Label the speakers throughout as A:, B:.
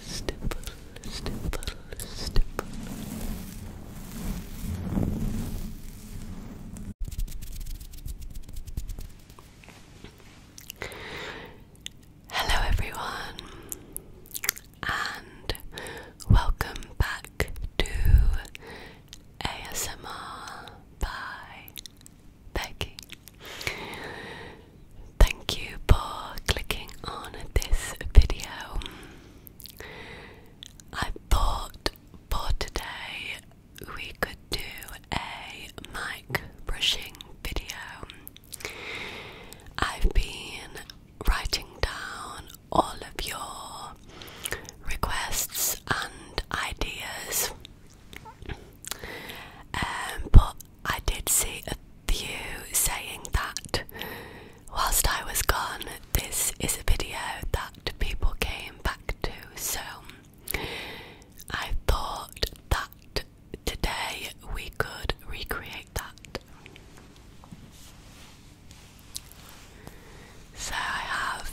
A: Stipple, Hello, everyone, and welcome back to ASMR by Becky. Thank you for clicking on this video. I thought for today we could do a mic brushing video. I've been writing down all of your requests and ideas um, but I did see a few saying that whilst I was gone, this is a video that people came back to. So I thought that today we could recreate that. So I have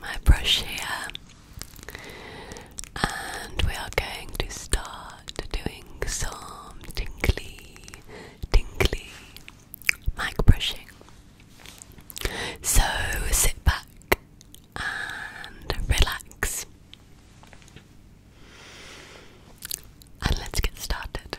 A: my brush here, and we are going to start doing some tingly, tingly mic brushing. So sit back and relax, and let's get started.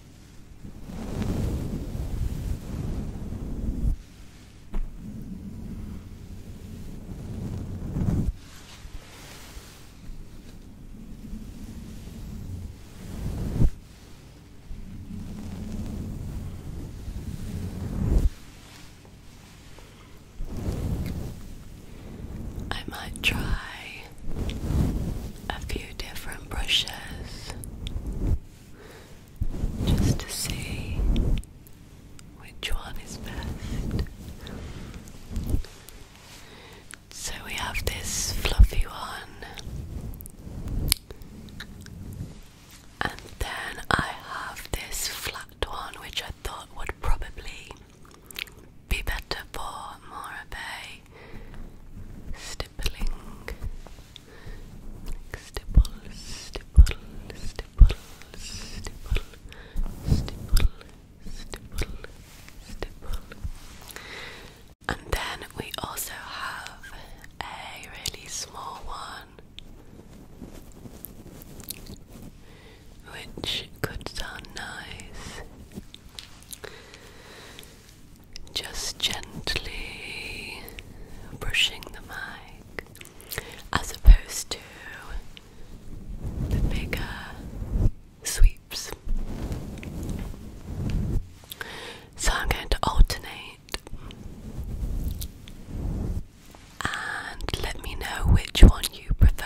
A: I might try a few different brushes just to see which one is best. So we have this fluffy one, and then I have this flat one, which I thought would probably be better for more of a stippling, stipple, stipple, stipple, stipple, stipple, stipple, stipple. And then we also have a really small one, which could sound nice just gently brushing the mic as opposed to the bigger sweeps. So I'm going to alternate and let me know which one you prefer.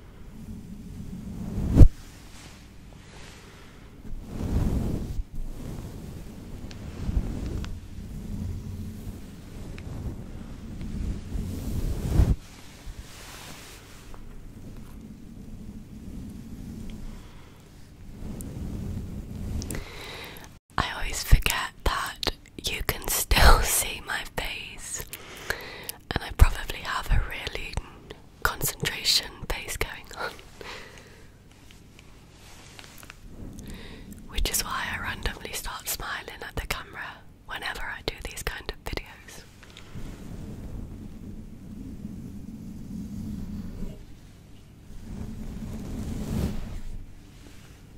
A: I always forget that you can still see my face, and I probably have a really concentration face going on. Which is why I randomly start smiling at the camera whenever I do these kind of videos.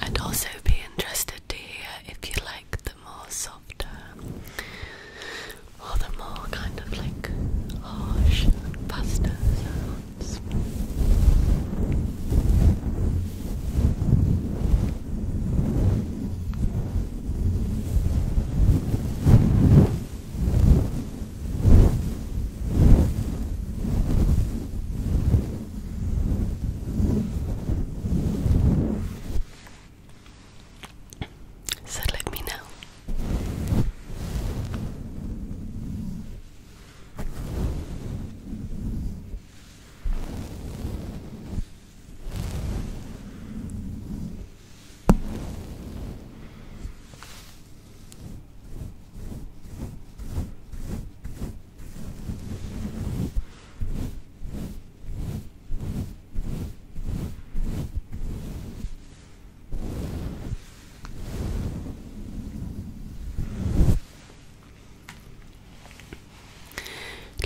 A: I'd also be interested to hear if you like the more softer all the more kind of like harsh, faster sounds. So let me know.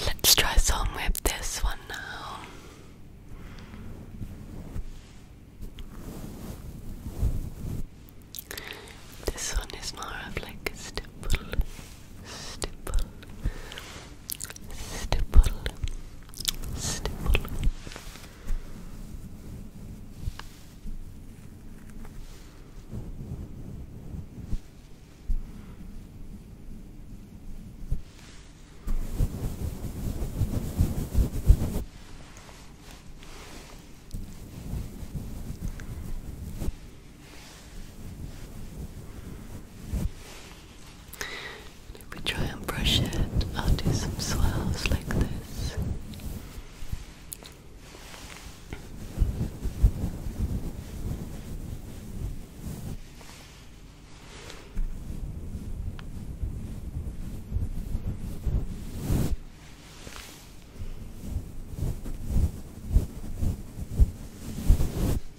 A: Let's try some with this one now. This one is more of like a stipple, stipple, stipple. Stipple. Stipple if we try and brush it, I'll do some swells like this.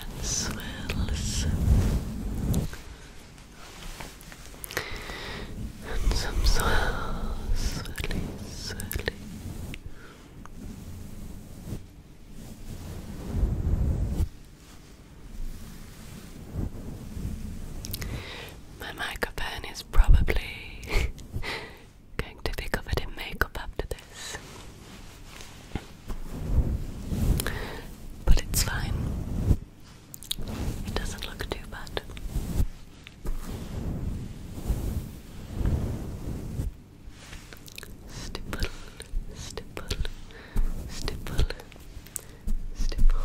A: and then swirls and some swirls, swirly, swirly my microphone is probably going to be covered in makeup after this. But it's fine. It doesn't look too bad. Stipple, stipple, stipple, stipple.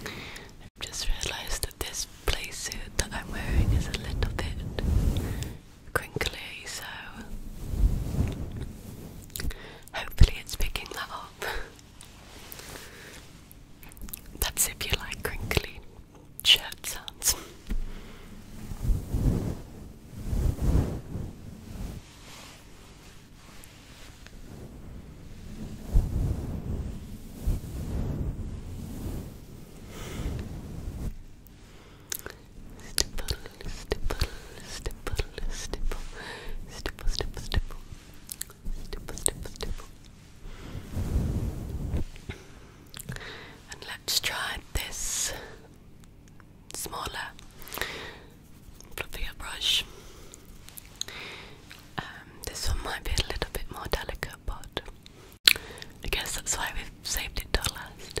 A: i just realized that this playsuit that I'm wearing is a little bit crinkly, so hopefully it's picking that up. That's if you like crinkly chat Stipple, stipple, stipple, stipple, stipple, stipple, stipple, stipple, stipple, just us try this smaller fluffier brush. Um, this one might be a little bit more delicate, but I guess that's why we've saved it till last.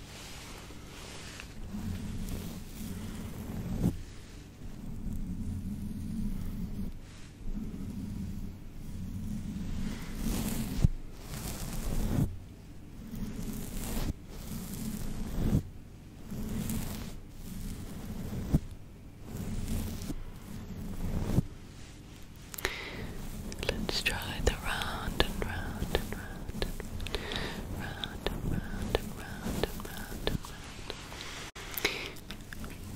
A: Let's try the round and round and round and round and round and round and round and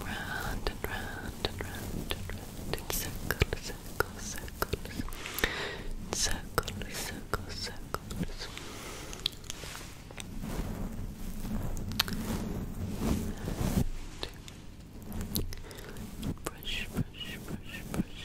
A: round. Round and round and round and round in circles, circles, circles. Circles, circles, circles. And Brush, brush, brush, brush.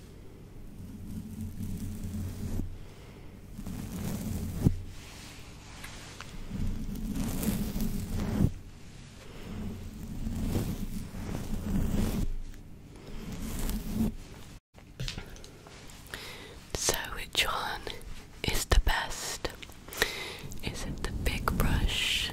A: So, which one is the best? Is it the big brush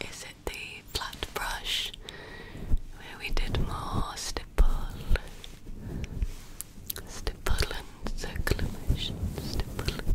A: Is it the flat brush where we did more stipple, stipple and circumcision, stipple?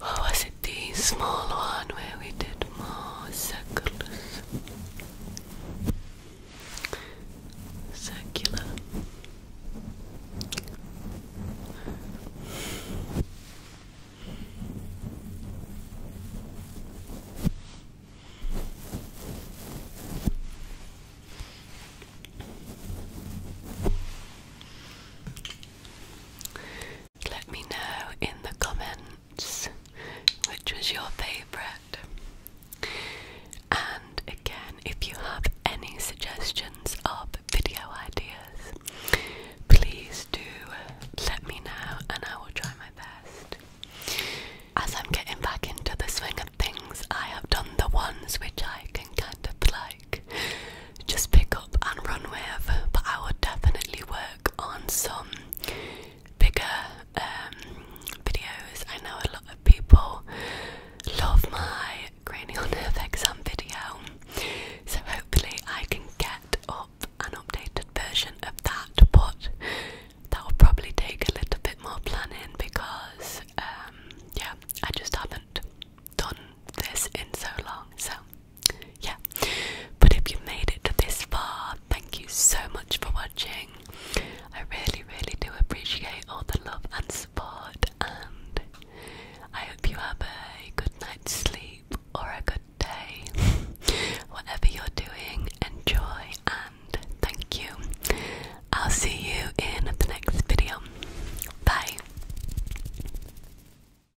A: Or was it the small one where we did more circles? Circular. Let me know in the comments which was your favourite. And again, if you have any suggestions of video ideas, please do let me know and I will try my best. As I'm getting back into the swing of things, I have done the ones which I can kind of like just pick up and run with, but I will definitely work on some bigger um, videos. I know a lot of people love my cranial nerve exam video, so hopefully I can get up an updated version of that. But that will probably take a little bit more planning because, um, yeah, I just haven't done this in so long. So yeah. But if you made it this far, thank you so much for watching. I really, really do appreciate all the love and support, and I hope you have a good night's sleep or a good day. Whatever you're doing, enjoy and thank you. I'll see you in the next video. Bye.